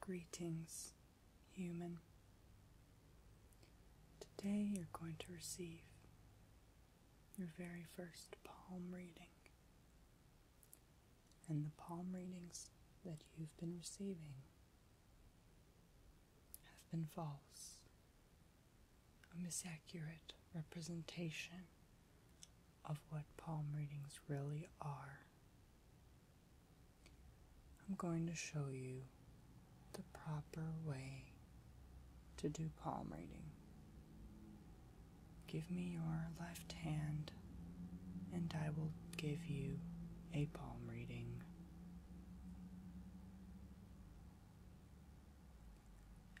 Greetings, human. Today you're going to receive your very first palm reading. And the palm readings that you've been receiving have been false, a misaccurate representation of what palm readings really are, I'm going to show you the proper way to do palm reading. Give me your left hand, and I will give you a palm reading.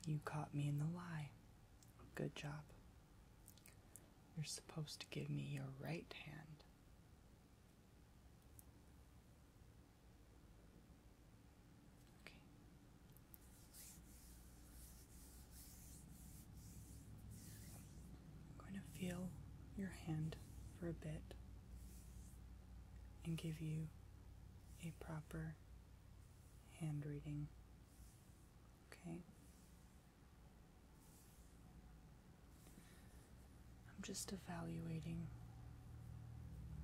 You caught me in the lie. Good job. You're supposed to give me your right hand. Okay. I'm going to feel your hand for a bit and give you a proper hand reading Okay. I'm just evaluating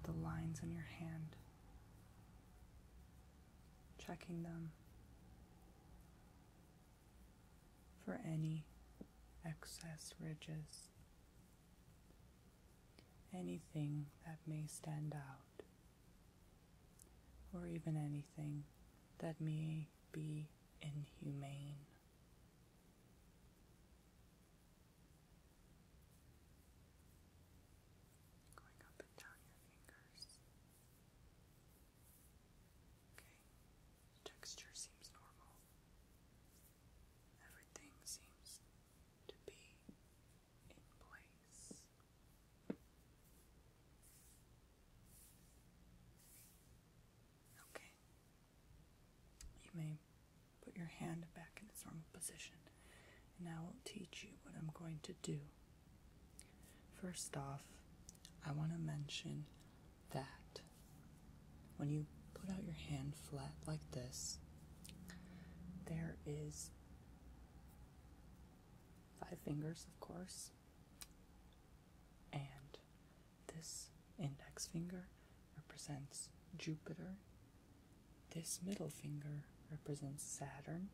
the lines in your hand, checking them for any excess ridges, anything that may stand out or even anything that may be inhumane. Okay, texture seems normal. Everything seems to be in place. Okay. You may put your hand back in its normal position, and I will teach you what I'm going to do. First off, I want to mention that when you put out your hand flat like this, there is Five fingers, of course. And this index finger represents Jupiter. This middle finger represents Saturn.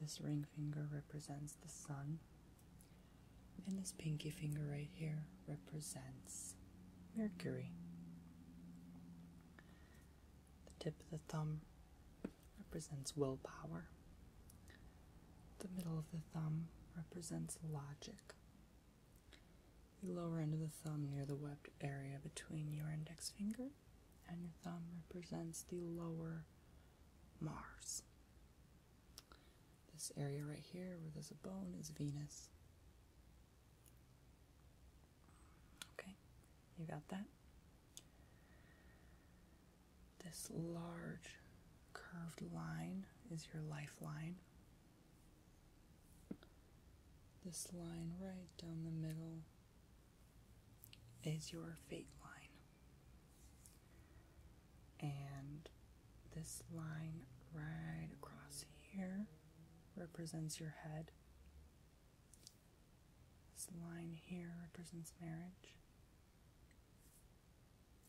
This ring finger represents the Sun. And this pinky finger right here represents Mercury. The tip of the thumb represents willpower. The middle of the thumb represents logic. The lower end of the thumb near the webbed area between your index finger and your thumb represents the lower Mars. This area right here where there's a bone is Venus. Okay, you got that? This large curved line is your lifeline. This line right down the middle is your fate line. And this line right across here represents your head. This line here represents marriage.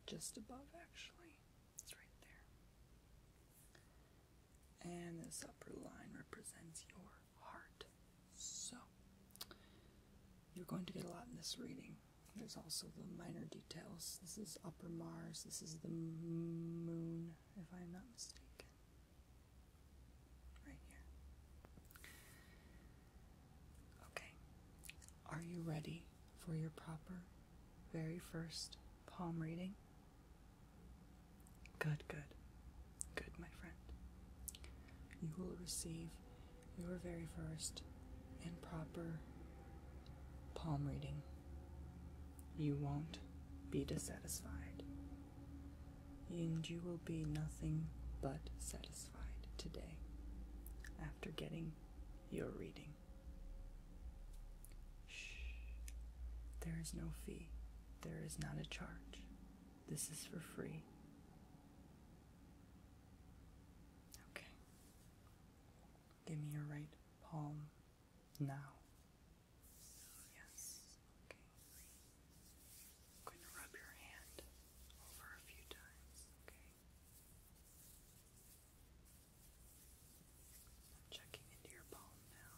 Just above, actually. It's right there. And this upper line represents your heart. So, you're going to get a lot in this reading. There's also the minor details. This is upper Mars. This is the moon, if I'm not mistaken. Okay. Are you ready for your proper very first palm reading? Good, good. Good, my friend. You will receive your very first and proper palm reading. You won't be dissatisfied and you will be nothing but satisfied today after getting your reading. Shh. There is no fee. There is not a charge. This is for free. Okay. Give me your right palm now. Yes. Okay. I'm going to rub your hand over a few times. Okay. I'm checking into your palm now.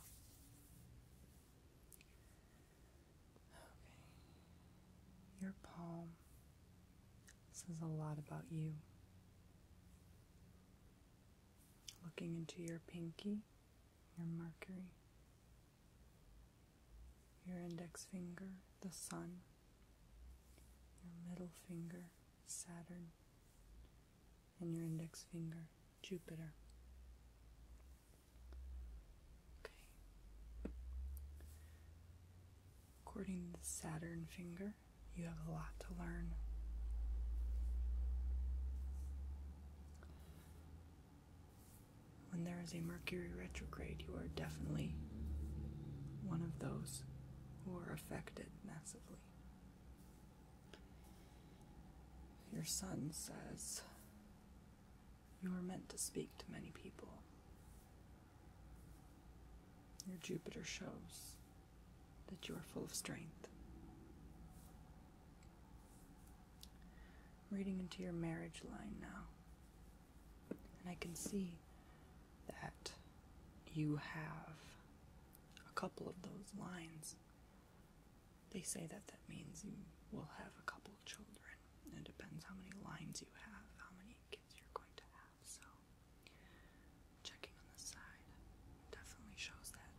Okay. Your palm says a lot about you. Looking into your pinky, your Mercury, your index finger, the Sun, your middle finger, Saturn, and your index finger, Jupiter. Okay. According to the Saturn finger, you have a lot to learn. When there is a Mercury retrograde, you are definitely one of those who are affected massively. Your Sun says, You are meant to speak to many people. Your Jupiter shows that you are full of strength. I'm reading into your marriage line now, and I can see that you have a couple of those lines. They say that that means you will have a couple of children. It depends how many lines you have, how many kids you're going to have. So, checking on the side definitely shows that.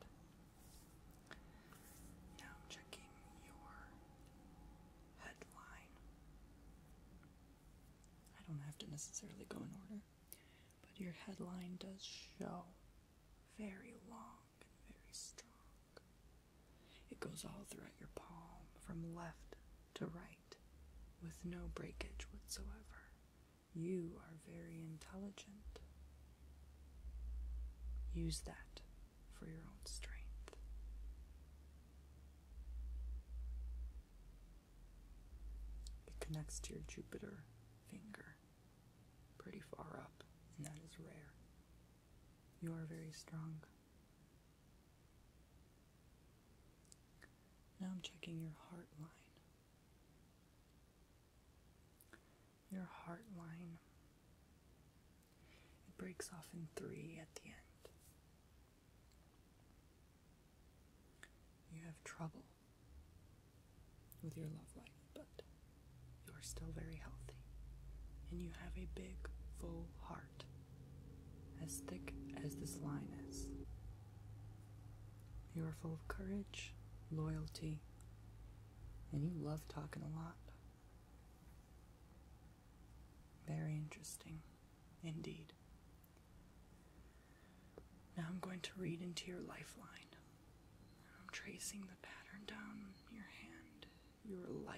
Now I'm checking your headline. I don't have to necessarily go in order, but your headline does show very long and very strong. It goes all throughout your palm from left to right with no breakage whatsoever. You are very intelligent. Use that for your own strength. It connects to your Jupiter finger pretty far up, and that is rare. You are very strong. Now I'm checking your heart line. Your heart line. It breaks off in three at the end. You have trouble with your love life, but you are still very healthy. And you have a big, full heart, as thick as this line is. You are full of courage, loyalty, and you love talking a lot. Very interesting, indeed. Now I'm going to read into your lifeline. I'm tracing the pattern down your hand. Your lifeline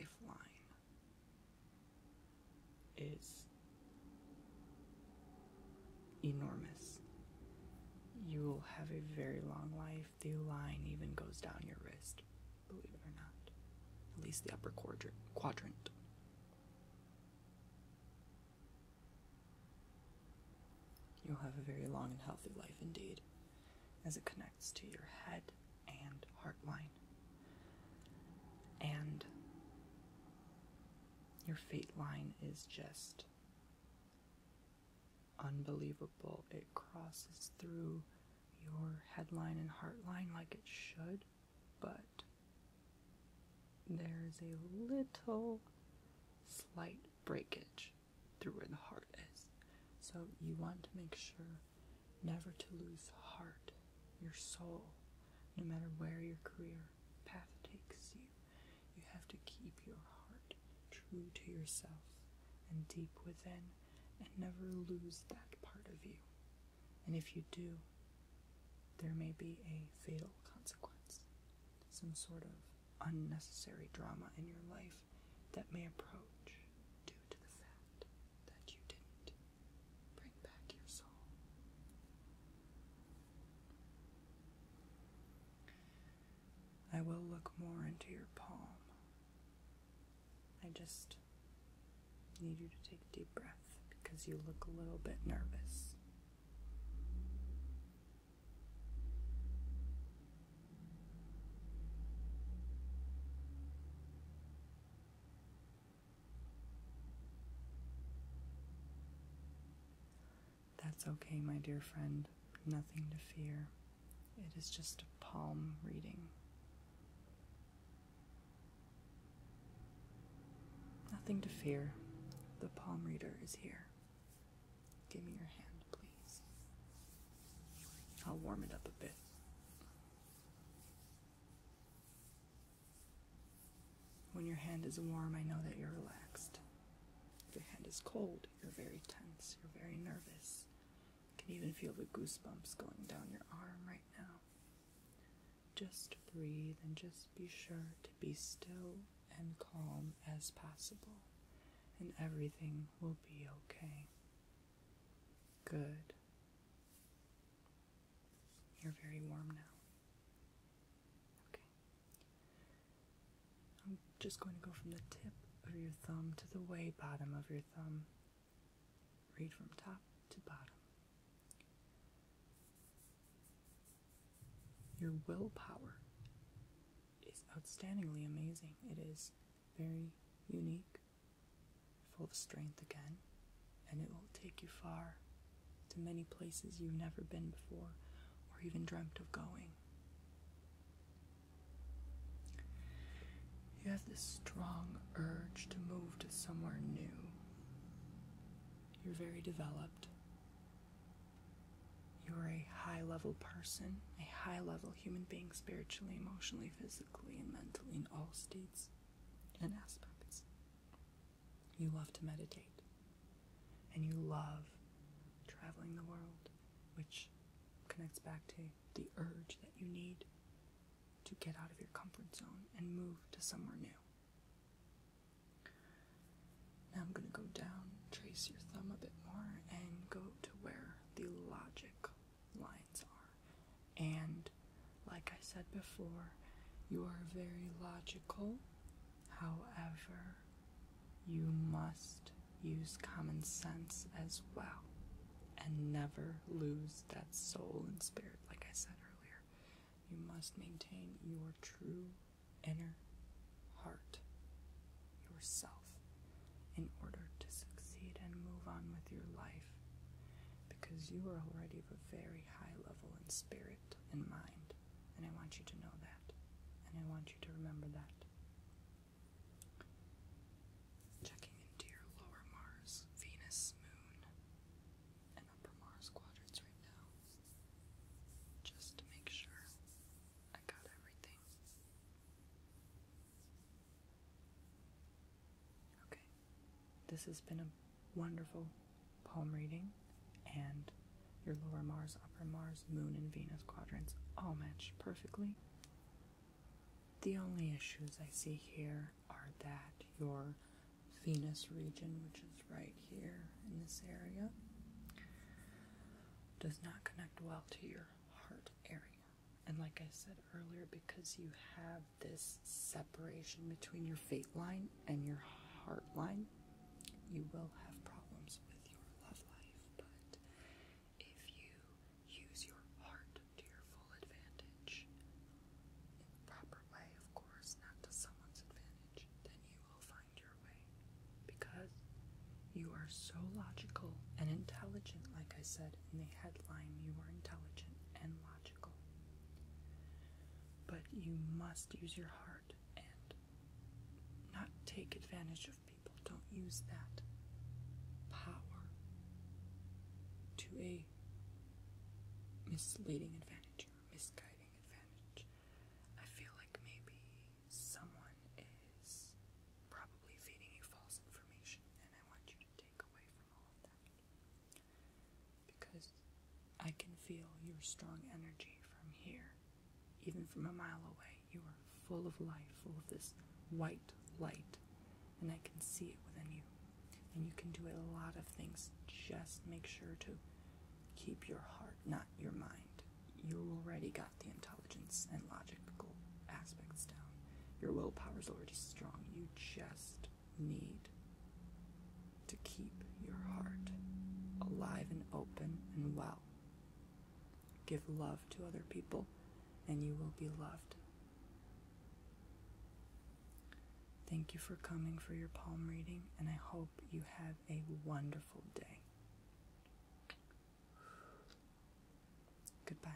is enormous. You will have a very long life. The line even goes down your wrist, believe it or not. At least the upper quadrant. You'll have a very long and healthy life indeed, as it connects to your head and heart line. And your fate line is just Unbelievable. It crosses through your headline and heartline like it should, but there's a little slight breakage through where the heart is. So you want to make sure never to lose heart, your soul, no matter where your career path takes you. You have to keep your heart true to yourself and deep within and never lose that part of you. And if you do, there may be a fatal consequence, some sort of unnecessary drama in your life that may approach due to the fact that you didn't bring back your soul. I will look more into your palm. I just need you to take a deep breath because you look a little bit nervous. That's okay, my dear friend. Nothing to fear. It is just a palm reading. Nothing to fear. The palm reader is here. Give me your hand, please. I'll warm it up a bit. When your hand is warm, I know that you're relaxed. If your hand is cold, you're very tense, you're very nervous. You can even feel the goosebumps going down your arm right now. Just breathe and just be sure to be still and calm as possible, and everything will be okay. Good. You're very warm now. Okay. I'm just going to go from the tip of your thumb to the way bottom of your thumb. Read from top to bottom. Your willpower is outstandingly amazing. It is very unique, full of strength again and it will take you far to many places you've never been before or even dreamt of going. You have this strong urge to move to somewhere new. You're very developed. You're a high level person, a high level human being spiritually, emotionally, physically, and mentally in all states and aspects. You love to meditate. And you love traveling the world, which connects back to the urge that you need to get out of your comfort zone and move to somewhere new. Now I'm going to go down, trace your thumb a bit more, and go to where the logic lines are. And like I said before, you are very logical. However, you must use common sense as well and never lose that soul and spirit, like I said earlier. You must maintain your true inner heart, yourself, in order to succeed and move on with your life because you are already of a very high level and spirit and mind, and I want you to know that, and I want you to remember that. Checking into your lower Mars, Venus, Moon, and upper Mars quadrants right now, just to make sure I got everything. Okay. This has been a wonderful palm reading, and your lower Mars, upper Mars, Moon, and Venus quadrants all match perfectly. The only issues I see here are that your Venus region, which is right here in this area, does not connect well to your heart area. And like I said earlier, because you have this separation between your fate line and your heart line, you will have problems with your love life. But if you use your heart to your full advantage, in the proper way, of course, not to someone's advantage, then you will find your way. Because you are so logical and intelligent, like I said in the headline, you are intelligent and logical. But you must use your heart and not take advantage of people. Don't use that power to a misleading advantage or misguiding advantage. I feel like maybe someone is probably feeding you false information, and I want you to take away from all of that because I can feel your strong energy from here. Even from a mile away, you are full of life, full of this white light, and I can see it within you. And you can do a lot of things. Just make sure to keep your heart, not your mind. You already got the intelligence and logical aspects down. Your willpower is already strong. You just need to keep your heart alive and open and well. Give love to other people, and you will be loved. Thank you for coming for your palm reading, and I hope you have a wonderful day. Goodbye.